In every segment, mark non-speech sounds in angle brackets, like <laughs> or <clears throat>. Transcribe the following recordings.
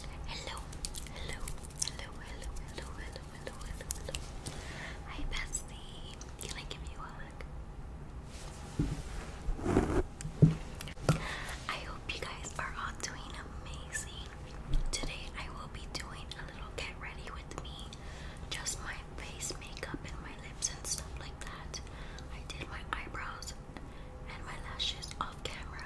Hello, hello, hello, hello, hello, hello, hello, hello, Hi, bestie. Can I give you a hug? I hope you guys are all doing amazing. Today I will be doing a little get ready with me. Just my face makeup and my lips and stuff like that. I did my eyebrows and my lashes off camera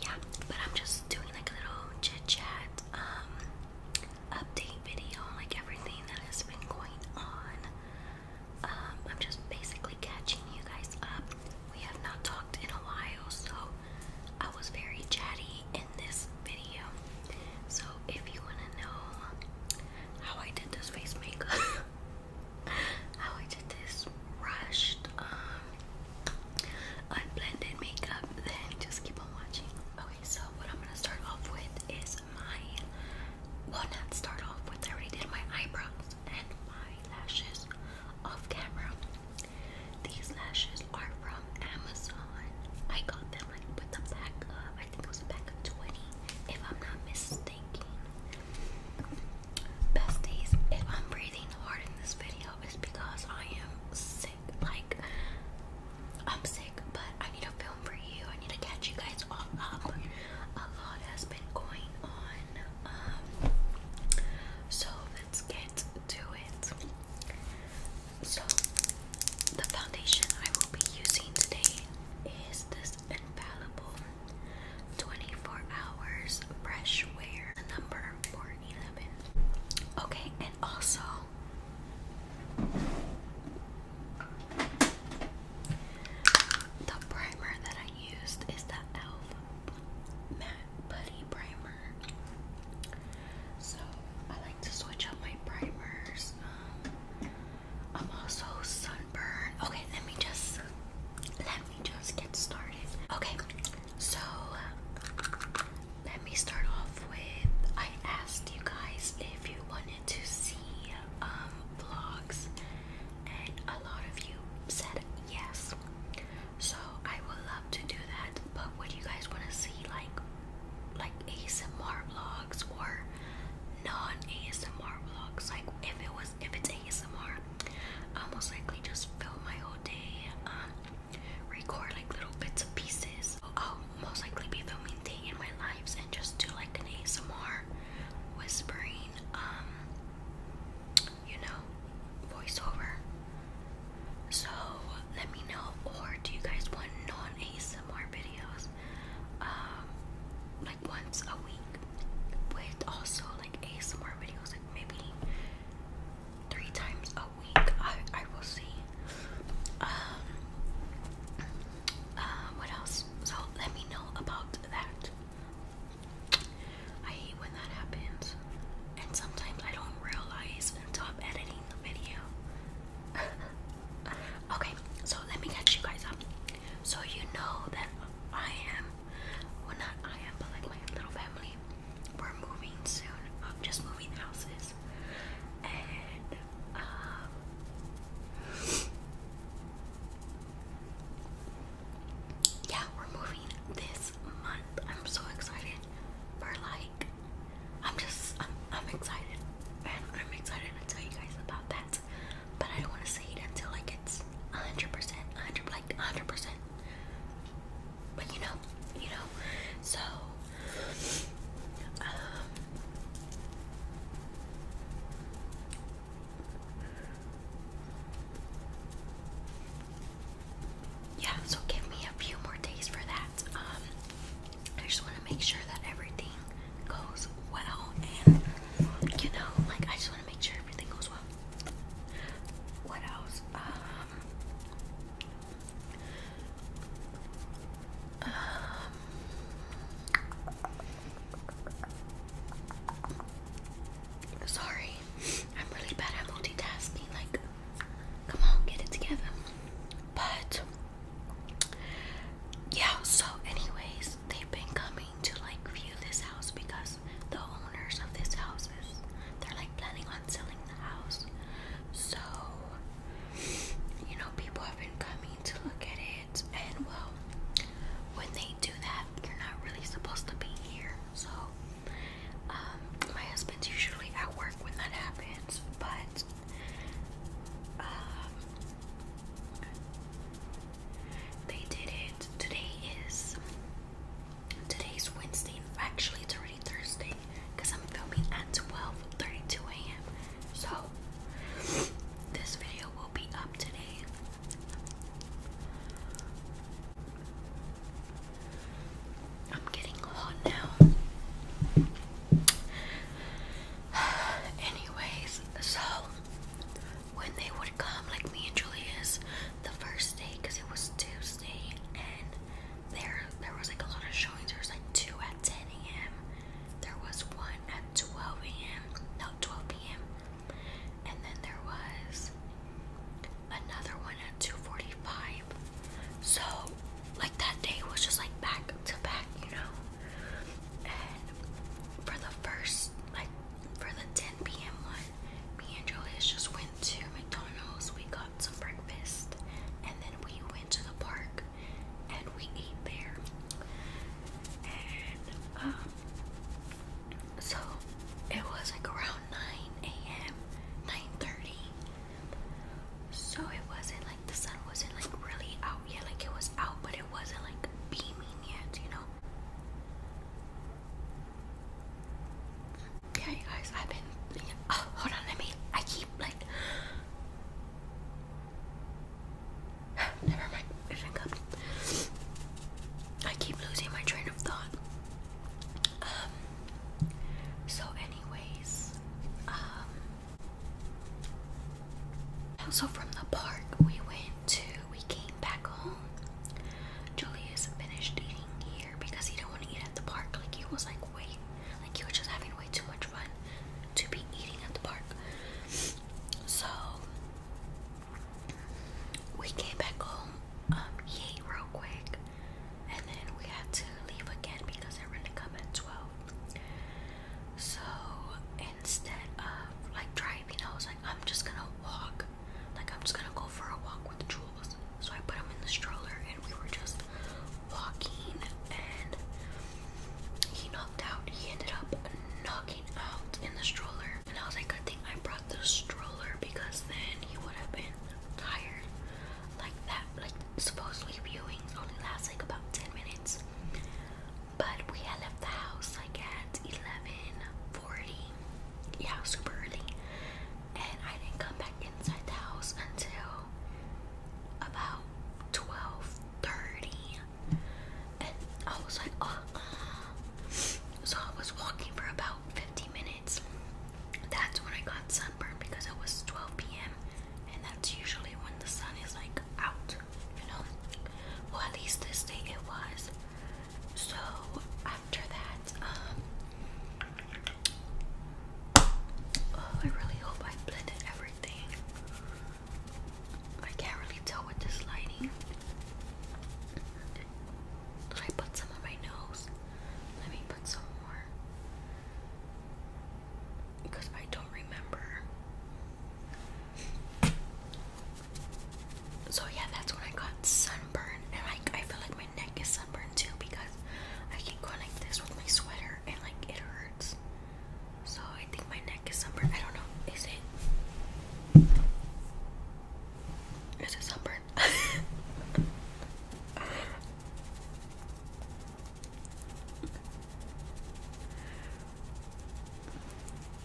yeah, but I'm just doing like a little chit chat, um, update video like everything that has been going on. Um, I'm just basically catching you guys up. We have not talked in a while, so I was very chatty in this video. So if you want to know how I did this face makeup, <laughs> Oh, I did this rushed, um, unblended makeup, then just keep on watching. Okay, so what I'm gonna start off with is my, well, not start off with, I already did my eyebrows and my lashes off camera. These lashes are from Amazon. I got them like with the pack of, I think it was a pack of 20, if I'm not mistaken. Besties, if I'm breathing hard in this video, it's because I am sick. Like, I'm sick, but I need a film for you. I need to catch you guys all up. A lot has been going on. Um, so, let's get to it. So, the foundation I will be using today is this Infallible 24 hours fresh wear. number four eleven. Okay, and also the primer that I used is the e.l.f. Matte Putty Primer. So I like to switch up my primers. Um, I'm also sunburned. Okay, let me just let let me just get started. Okay, so let me start off with I asked you guys if you wanted to see um, vlogs, and a lot of you said yes. So I would love to do that. But what do you guys want to see, like, like ASMR vlogs or non-ASMR vlogs? Like, if it was if it's ASMR, I will most likely just film my whole day, um, record like little bits and pieces. I'll most likely be filming day in my lives and just do like an ASMR whispering, um, you know, voiceover. So let me know, or do you guys want non-ASMR videos? Um, like once a week with also like ASMR videos, like maybe three times a week. I I will see. Um. Uh, what else? So let me know about that. I hate when that happens, and sometimes I don't realize until I'm editing the video. <laughs> okay, so let me catch you guys up so you know that I am well, not I but like my little family. We're moving soon. I'm just moving houses. And, um, yeah, we're moving this month. I'm so excited for like, I'm just, I'm, excited. And I'm excited to tell you guys about that. But I don't want to say it until like it's 100%, 100 100%. Um, yeah, so give me a few more days for that. Um, I just want to make sure that everything goes well, and you know, like I just want to make sure everything goes well. What else? Um, um, sorry, I'm really bad at multitasking. Like, come on, get it together. But yeah, so, anyways, they've been coming to like view this house because house, the owners of these houses, they're like planning on selling the house. So, you know, people have been coming to look at it, and well, when they do that, you're not really supposed to be here. So, um, my husband's usually at work when that happens, but, um, they did it. Today is Today's Wednesday, and actually it's already Thursday because I'm filming at 12:32 a.m. So this video will be up today. I'm getting hot now. <sighs> Anyways, so when they would come, like me and Julius, the first day, because it was Tuesday, and there there was like a lot of showings. There was like two at 10 a.m. There was one at 12 a.m. No, 12 p.m. And then there was another one at 2:45. So like that day was just like back to back, you know. And for the first like for the 10 p.m. one, me and Julius just went to McDonald's. We got some breakfast and then we went to the park and we ate there. And um so it was like around 9 a.m. 9:30. So it wasn't like the sun wasn't like really out yet, like it was out, but it wasn't like beaming yet, you know. Okay, guys, I've been. Oh, hold on, let me. I keep like. <sighs> Never mind. Drink up. I keep losing my train of thought. Um. So, anyways, um. Also, from the park, we went to we came back home, Julius finished eating here because he didn't want to eat at the park. Like he was like way, like he was just having way too much fun to be eating at the park. So we came back home. Um, he ate real quick, and then we had to leave again because they were to come at twelve. So instead of like driving, I was like. I'm just gonna walk. Like, I'm just gonna go for a walk with Jules. So I put him in the stroller and we were just walking and he knocked out. He ended up knocking out in the stroller. And I was like, good thing I brought the stroller because then he would have been tired. Like that, like supposedly viewing only last like about 10 minutes. But we had left the house like at 11:40 yeah, super early. And I didn't come back inside the house until about 12:30. And I was like, oh. Um, so I was walking for about 50 minutes. That's when I got sunburned because it was 12 p.m. And that's usually when the sun is like out, you know? Well, at least this day it was. So after that, um, oh, I really hope I blended everything. I can't really tell with this lighting. Did I put some on my nose? Let me put some more. Because I don't remember. So yeah, that's when I got sunburned, and like I feel like my neck is sunburned too because I keep going like this with my sweater, and like it hurts. So I think my neck is sunburned. I don't know. Is it? Is it sunburned? <laughs>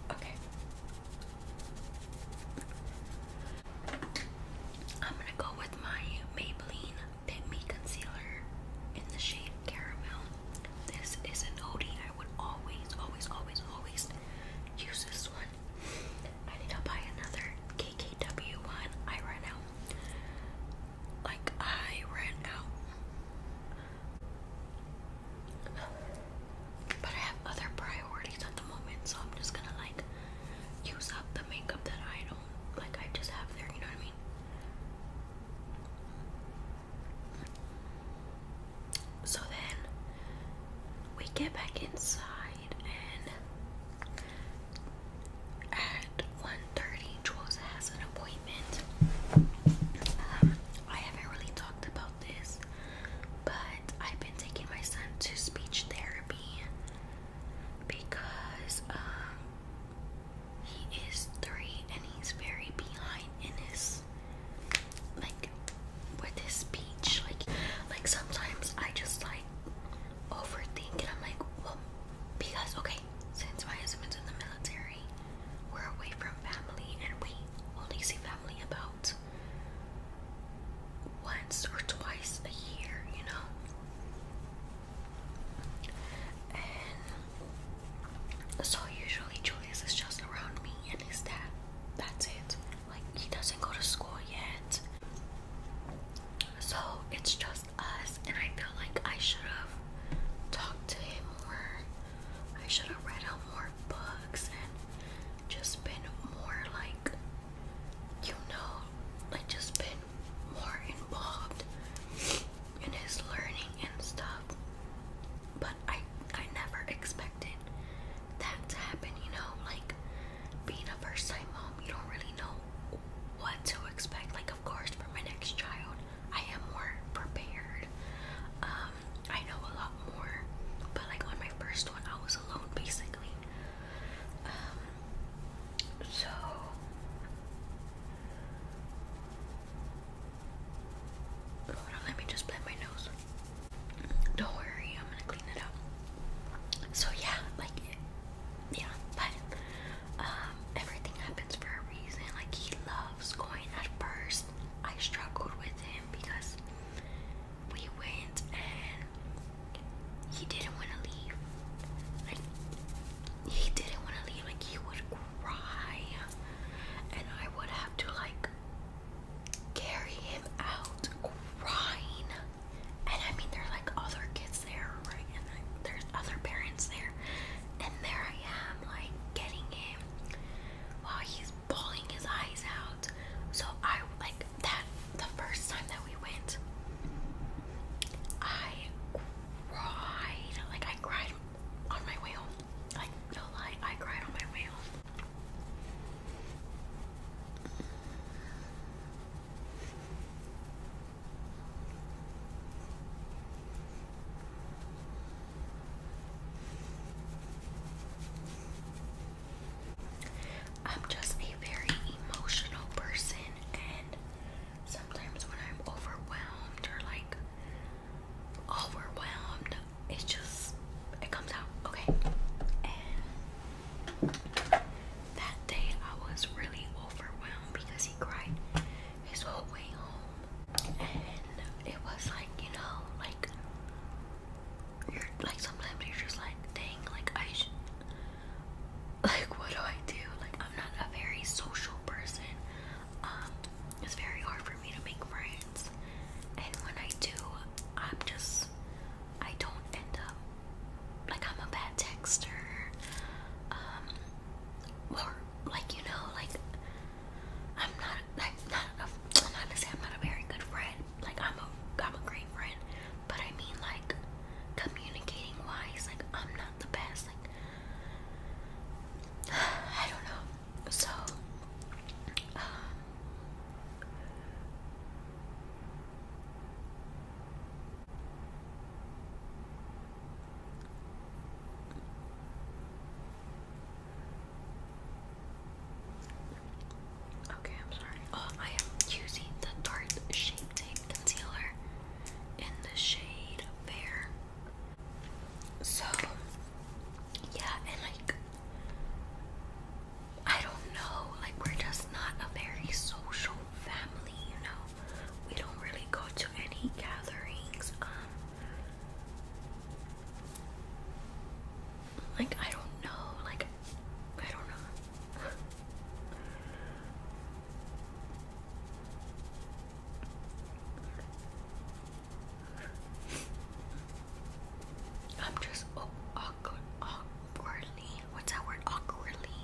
Okay. I'm gonna go with my Maybelline Pit Me Concealer in the shade Caramel. This is an OD. I would always, always, always, always use this one. I need to buy another KKW one. I ran out. Like, I ran out. But I have other priorities at the moment, so I'm just gonna like use up the makeup that I don't like, I just have there, you know what I mean? So then we get back inside and at 1.30 Jules has an appointment. Um, I haven't really talked about this, but I've been taking my son to speech therapy because um, he is three and he's very behind in his like with his speech. Like like sometimes I just like overthink and I'm like, well because okay, since my husband's in the military, we're away from family and we only see family about out once or twice a year, you know. And so usually Julius is just around me and his dad. That's it. Like he doesn't go to school yet. So it's just us and I feel like I should have talked to him more. I should have read out more books and just been more like, you know, like just been more involved in his learning and stuff. But I I never expected that to happen, you know, like being a first time mom, you don't really know what to expect. Like of course for my next child, I am more prepared. Um I know a lot more, but like on my first one, I was alone basically. Um, so let me just blend my nose. Don't worry, I'm gonna clean it up. So yeah, like yeah, but um, everything happens for a reason. Like he loves going at first. I struggled with him because we went and he didn't want to leave. Like he didn't want to leave. Like he would cry, and I would have to like carry him out crying. And I mean, there's like other kids there, right? And like, there's other parents there, and there I am, like getting him while he's bawling his eyes out. So I like that the first time that we went, I cried. Like I cried on my way home. Like no lie, I cried on my way home. I'm just a very emotional person, and sometimes when I'm overwhelmed or like overwhelmed, it just it comes out okay. And that day I was really overwhelmed because he cried his whole way home, and it was like you know, like you're like sometimes you're just like, dang, like I like what do I do? Like I'm not a very social person. Um, it's very hard for me to make friends, and when I do, I'm just, I don't end up like I'm a bad texter. Um, or like you know, like I'm not like not to say I'm not a very good friend. Like I'm a I'm a great friend, but I mean like communicating wise, like I'm not the best. Like <sighs> I don't know. So um, Okay, I'm sorry. Oh, I am using the Tarte Shape Tape Concealer in the shade Fair. So, yeah, and like, I don't know, like, we're just not a very social family, you know? We don't really go to any gatherings. Um, like, I don't know. Like, I don't know. I'm just oh, awkwardly. What's that word? Awkwardly.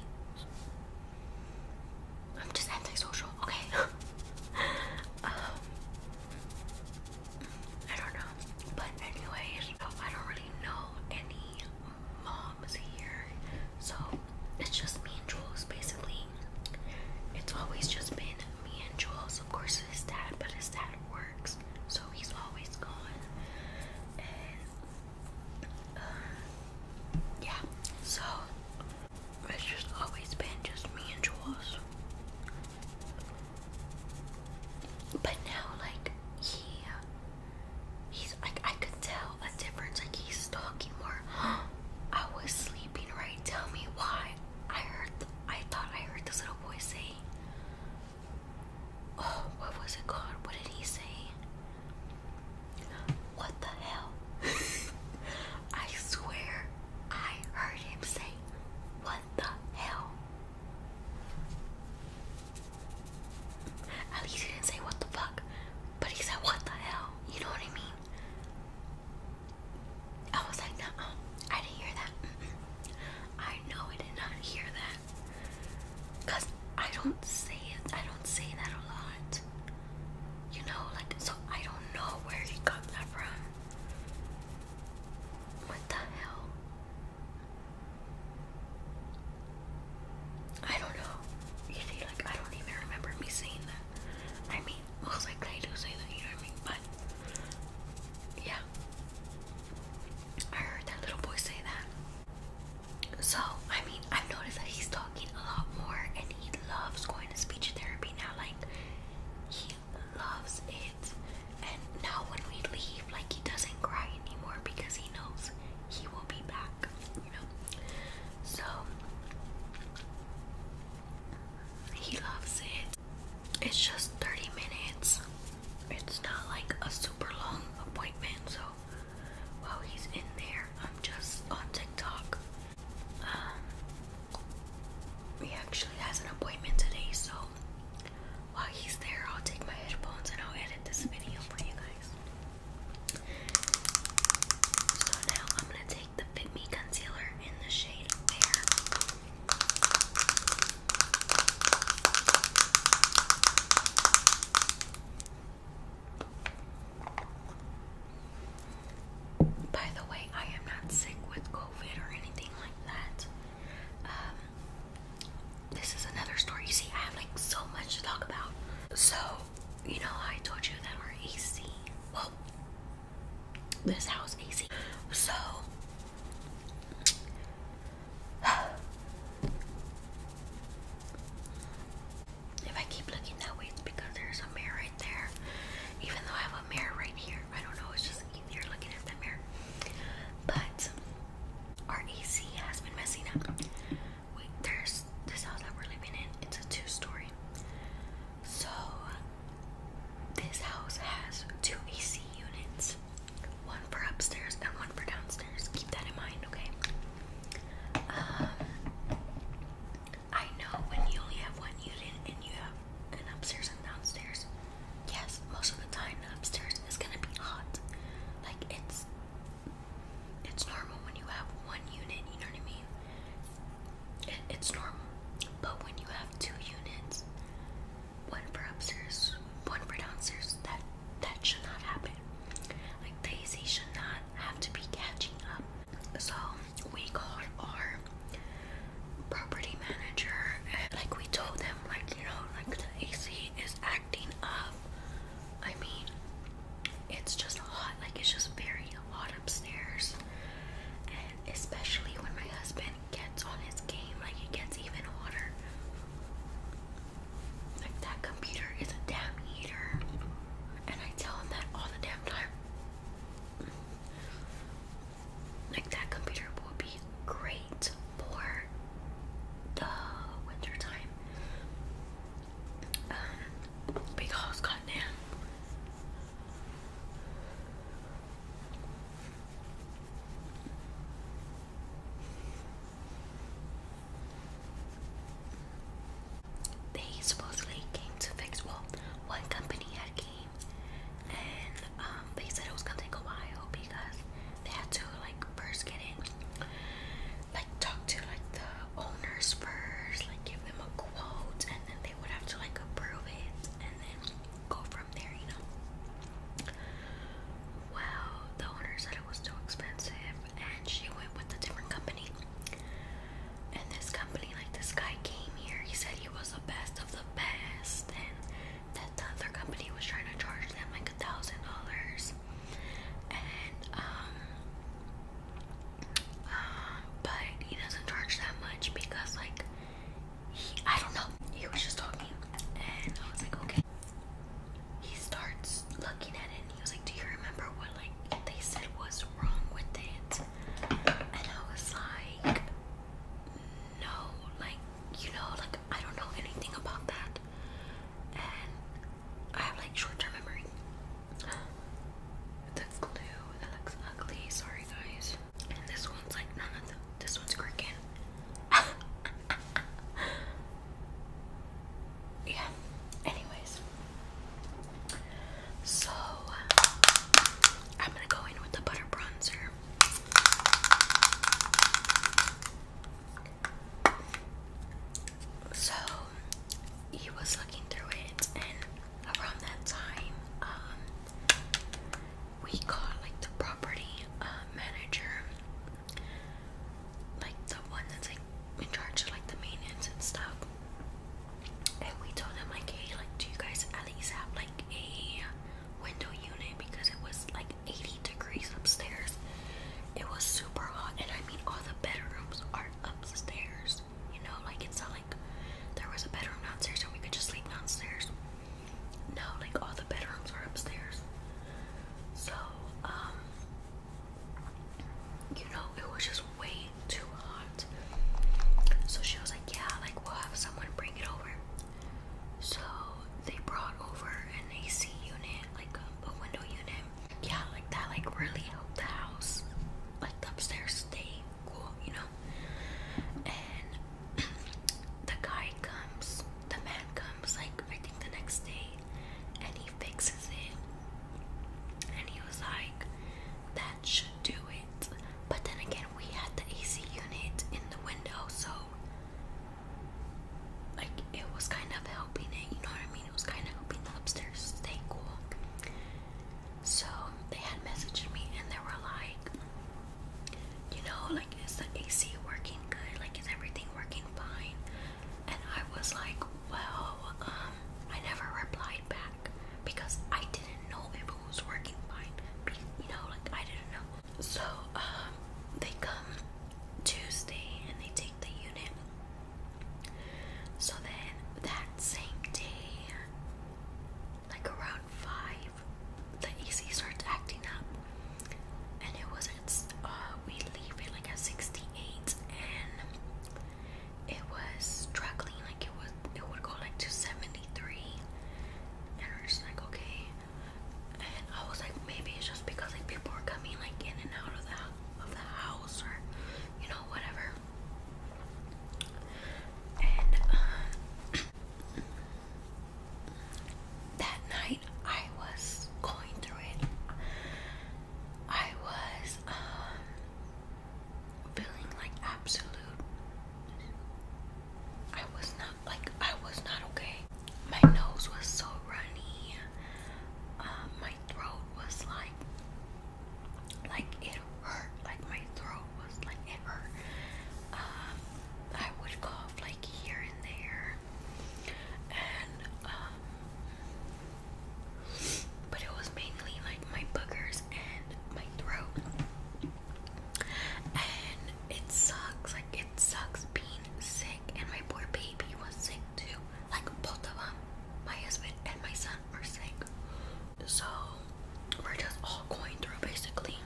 I'm just antisocial. Okay. <laughs> Um, I don't know. But anyways, I don't really know any moms here. So it's just me and Jules basically. It's always just been me and Jules. Of course it's dad, but his dad works, so he's always gone. And uh, yeah, so it's just always been just me and Jules. But now, like he, uh, he's like I could tell a difference. Like he's talking more. <gasps> I was sleeping, right? Tell me why. I heard. I thought I heard this little boy say. Oh, what was it called? What did he say? What the hell? <laughs> I swear I heard him say, What the hell? At least he didn't say what the fuck, but he said what the hell. You know what I mean? I was like, no, I didn't hear that. I know I did not hear that, cause I don't say it. I don't say that a lot. You know, like so I don't know where he got that from. What the hell? I don't know. You see, like, I don't even remember me saying that. I mean, most likely I do say that, you know what I mean? But, yeah. I heard that little boy say that. So, I mean, I've noticed that he's talking a lot more and he loves going to speech therapy now. Like, he loves it. And now when we leave, like he doesn't cry anymore because he knows he will be back, you know. So he loves it. It's just 30 minutes. It's not like a super long appointment, so while he's in there, I'm just on TikTok. Um, he actually has an appointment today, so while he's there, I'll take my headphones and I'll edit this video for you guys. So now I'm gonna take the Fit Me concealer in the shade Fair. By the way, I am not sick with COVID or anything like that. Um, this is another story. You see, I have like so much to talk about. So, you know, I told you that our AC, well, this house is AC. So, <sighs> if I keep looking that way, it's because there's a mirror right there. Even though I have a mirror right here, I don't know, it's just you're looking at the mirror. But our AC has been messing up. We, there's this house that we're living in. It's a two-story. So this house has two AC units, one for upstairs and one for downstairs. Keep that in mind, okay? Um, I know when you only have one unit and you have and upstairs and downstairs. Yes, most of the time upstairs is gonna be hot. Like it's it's normal when you have one unit, you know what I mean? it's normal. But when you have two units, one for upstairs, one for downstairs, that that should not happen. Like Daisy should not have to be catching up. So we got our property manager like we told them, like you know like the AC is acting up. I mean it's just hot, like it's just very hot upstairs. And especially when my husband gets on his game, like it gets even hotter. Like that computer is a damn heater. And I tell him that all the damn time like that computer will be great for the wintertime um, because goddamn. They supposedly came to fix well, one company had and um, they said it was gonna take a while because they had to like first get in, like talk to like the owners first, like give them a quote, and then they would have to like approve it, and then go from there, you know. Well, the owner said it was too expensive, and she went with a different company. And this company, like this guy came here, he said he was the best of the best, and that the other company was trying to charge them like a thousand dollars and um uh, but he doesn't charge that much because like he I don't know he was just talking and I was like okay he starts looking at it and he was like do you remember what like they said was wrong with it and I was like know, like, you know, like, I don't know anything about that. And I have, like, short term memory. The glue, that looks ugly. Sorry, guys. this one's like, none this one's cricket. <laughs> yeah, anyways. So, I'm gonna go in with the butter bronzer. So he was looking through it, and around that time, um, we called like the property uh, manager, like the one that's like in charge of like the maintenance and stuff. And we told him like, hey, like, do you guys at least have like a window unit because it was like 80 degrees upstairs. It was super hot, and I mean, all the bedrooms are upstairs. You know, like it's not like there was a bedroom downstairs and we could just sleep downstairs. No, like all the bedrooms are upstairs. So, um, you know, it was just way too hot. So she was like, Yeah, like we'll have someone bring it over. So they brought over an AC unit, like a, window unit. Yeah, like that, like really helped the house, like the upstairs stay cool, you know. And <clears throat> the guy comes, the man comes, like I think the next day, and he fixes it. And he was like, "That sh do it. But then again, we had the AC unit in the window, so like it was kind of helping it, you know what I mean? It was kind of helping the upstairs stay cool. So they had messaged me and they were like, you know, like is the AC working good? Like is everything working fine? And I was like, well, um, I never replied back because I didn't know it school was working fine. You know, like I didn't know. So um, they come Tuesday and they take the unit. So then that same day, like around five, the AC starts acting up, and it was at uh, we leave it like at sixty eight, and it was struggling like it was it would go like to seventy. 73. And we're just like, okay. And I was like, maybe it's just because like people are coming like in and out of the of the house or you know whatever. And uh, <clears throat> that night I was going through it. I was um, feeling like absolute I was not like I was not okay. My nose was so runny. Um, my throat was like like it hurt. Like my throat was like it hurt. Um, I would cough like here and there, and um, but it was mainly like my boogers and my throat and it sucks. Like it sucks being sick, and my poor baby was sick too. Like both of them, my husband and my son, are sick. So we're just all going through basically.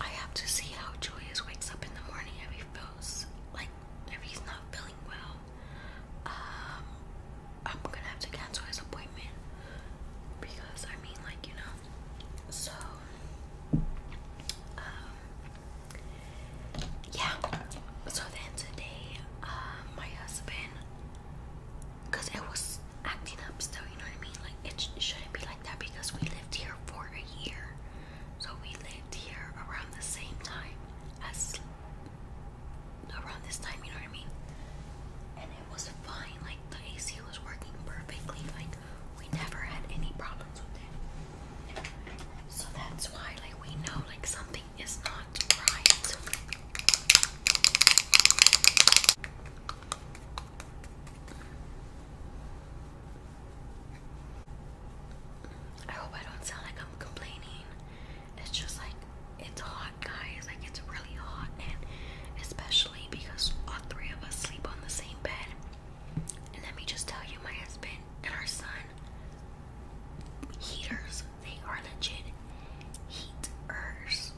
I have to see how Julius wakes up in the morning if he feels like if he's not feeling well. Um, I'm gonna have to cancel his appointment because I mean, like, you know, so um, yeah. So then today, uh, my husband, because it was acting up still, you know what I mean? Like, it, shouldn't be like that because we lived here for a year, so we lived here around the same time as around this time, you know what I mean? it was fine. Like the AC was working perfectly. Like we never had any problems with it. So that's why, like, we know like something is not right. I hope I don't sound like I'm complaining. It's just like it's hot, guys. Like it's really hot, and especially because all three of us sleep on the same bed. And let me just tell you, my husband and our son, heaters, they are legit heaters.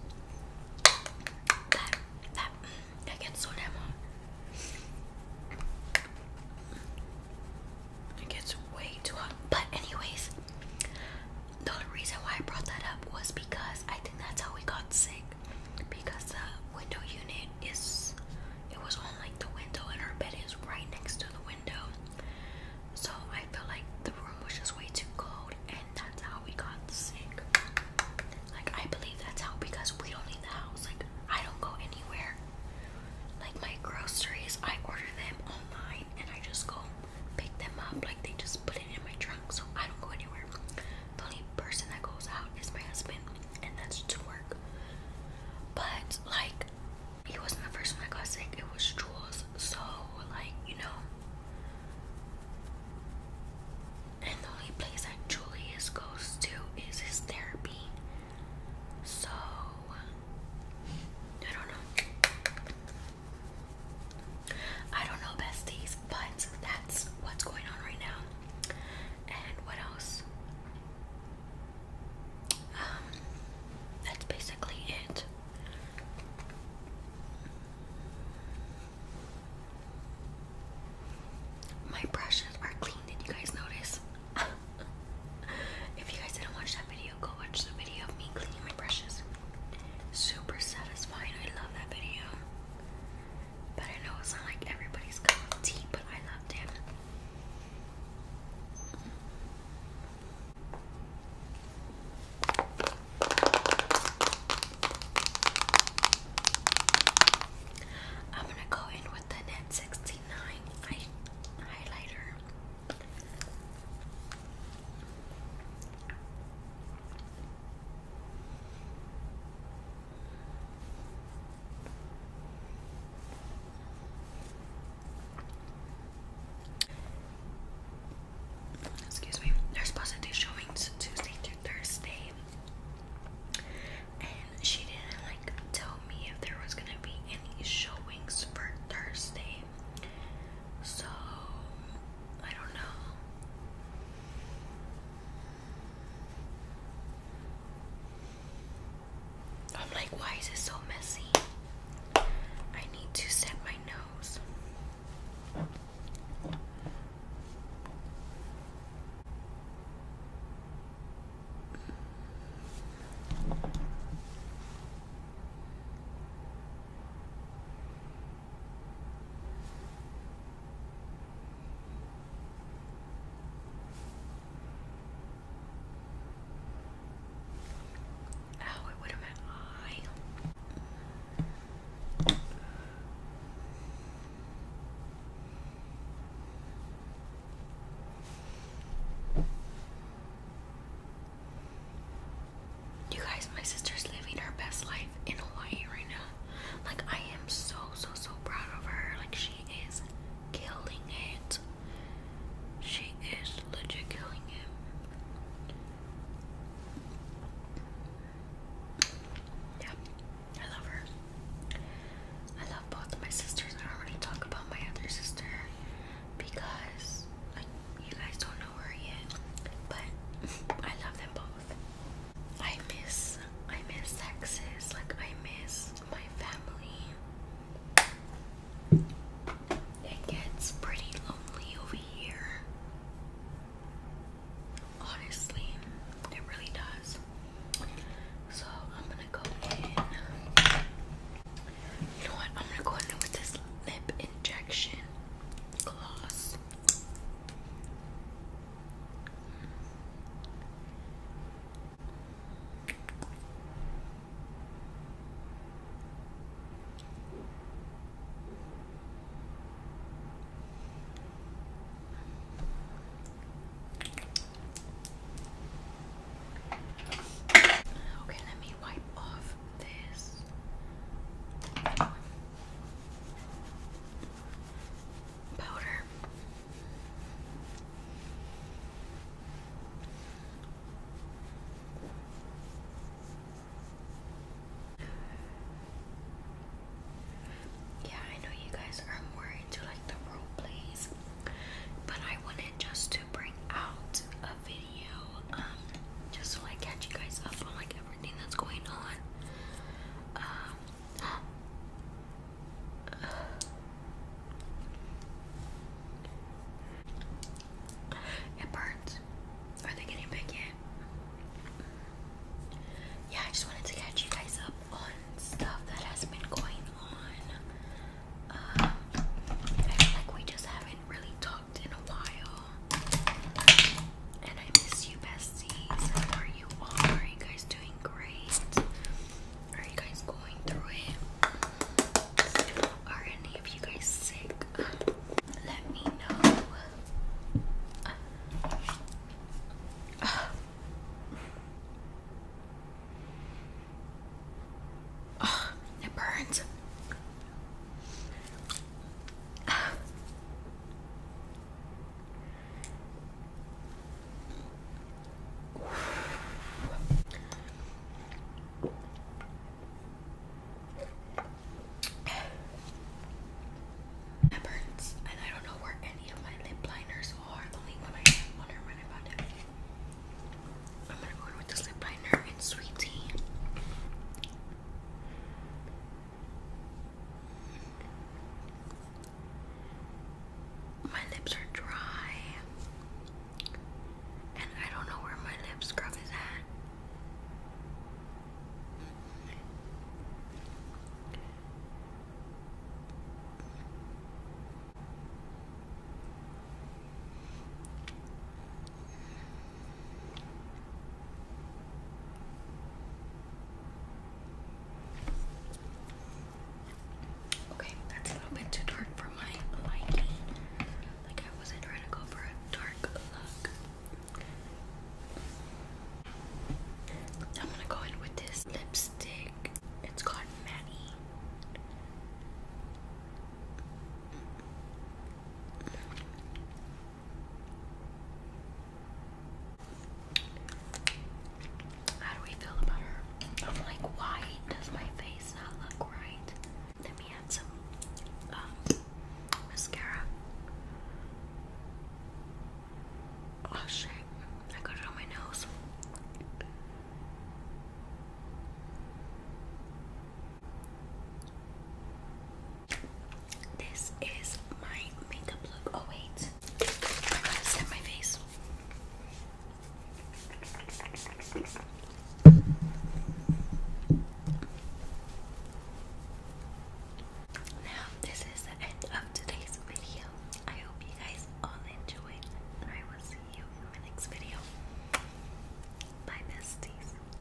That, that, mm, that gets so damn hot. It gets way too hot. But anyways, the reason why I brought that up was because I think that's how we got sick. Because the window unit is, it was on like the window, and our bed is right next to the window. So I feel like the room was just way too cold, and that's how we got sick. Like I believe that's how because we don't leave the house. Like I don't go anywhere. Like my groceries, I order them online, and I just go pick them up. Like they just put it in my trunk, so I don't go anywhere. The only person that goes out is my husband, and that's to work. But like, he wasn't the first one that got sick. It was Jules. So like, you know. And the only place that Julius goes to is his therapy. So I don't know. I don't know besties, but that's what's going on right now. And what else? Um, that's basically it. My brushes are clean, did you guys notice? <laughs> if you guys didn't watch that video, go watch the video of me cleaning my brushes super satisfying. I love that video. But I know it's not like everybody's cup of tea, but I loved it. I'm gonna go in with the net 69 highlighter. Excuse me. There's positive showings Tuesday through Thursday, and she didn't like tell me if there was gonna be any showings for Thursday. So, I don't know. I'm like, why is it so messy? I need to set my nose. Oh, it would have been I. You guys, my sister's living her best life in Hawaii right now. Like, I am so, so, so proud of her. Like, she is killing it. She is legit killing it. Yeah, I love her. I love both of my sisters. I don't really talk about my other sister because, like, you guys don't know but I love them both. I miss, I miss Texas. Like I miss my family. It gets pretty lonely over here. Honestly, it really does. So I'm gonna go in. You know what? I'm gonna go in with this lip injection gloss. Okay, let me wipe off this powder. Yeah, I know you guys are more into like the role plays, but I wanted just to bring out a video um, just to like catch you guys up on like everything that's going on. Um, it burns. Are they getting big yet? Yeah, I just wanted to catch you guys up on stuff that has been going on. Um, I feel like we just haven't really talked in a while. And I miss you, besties. are you all? Are you guys doing great? Are you guys going through it? Are any of you guys sick? Let me know. Oh, it burns. That burns, and I don't know where any of my lip liners are. The only one I have, wonder when I found it. I'm gonna go in with the lip liner and sweet tea. My lips are dry, and I don't know where my lip scrub is at. Okay, that's a little bit too dark for my liking. Like I was trying to go for a dark look. I'm gonna go in with this lipstick. It's called Manny. How do we feel about her? I'm like, why does my face not look right? Let me add some um, mascara. Oh shit, I got it on my nose. This is my makeup look. Oh, wait. I gotta set my face. Now, this is the end of today's video. I hope you guys all enjoyed. I will see you in my next video. Bye, besties.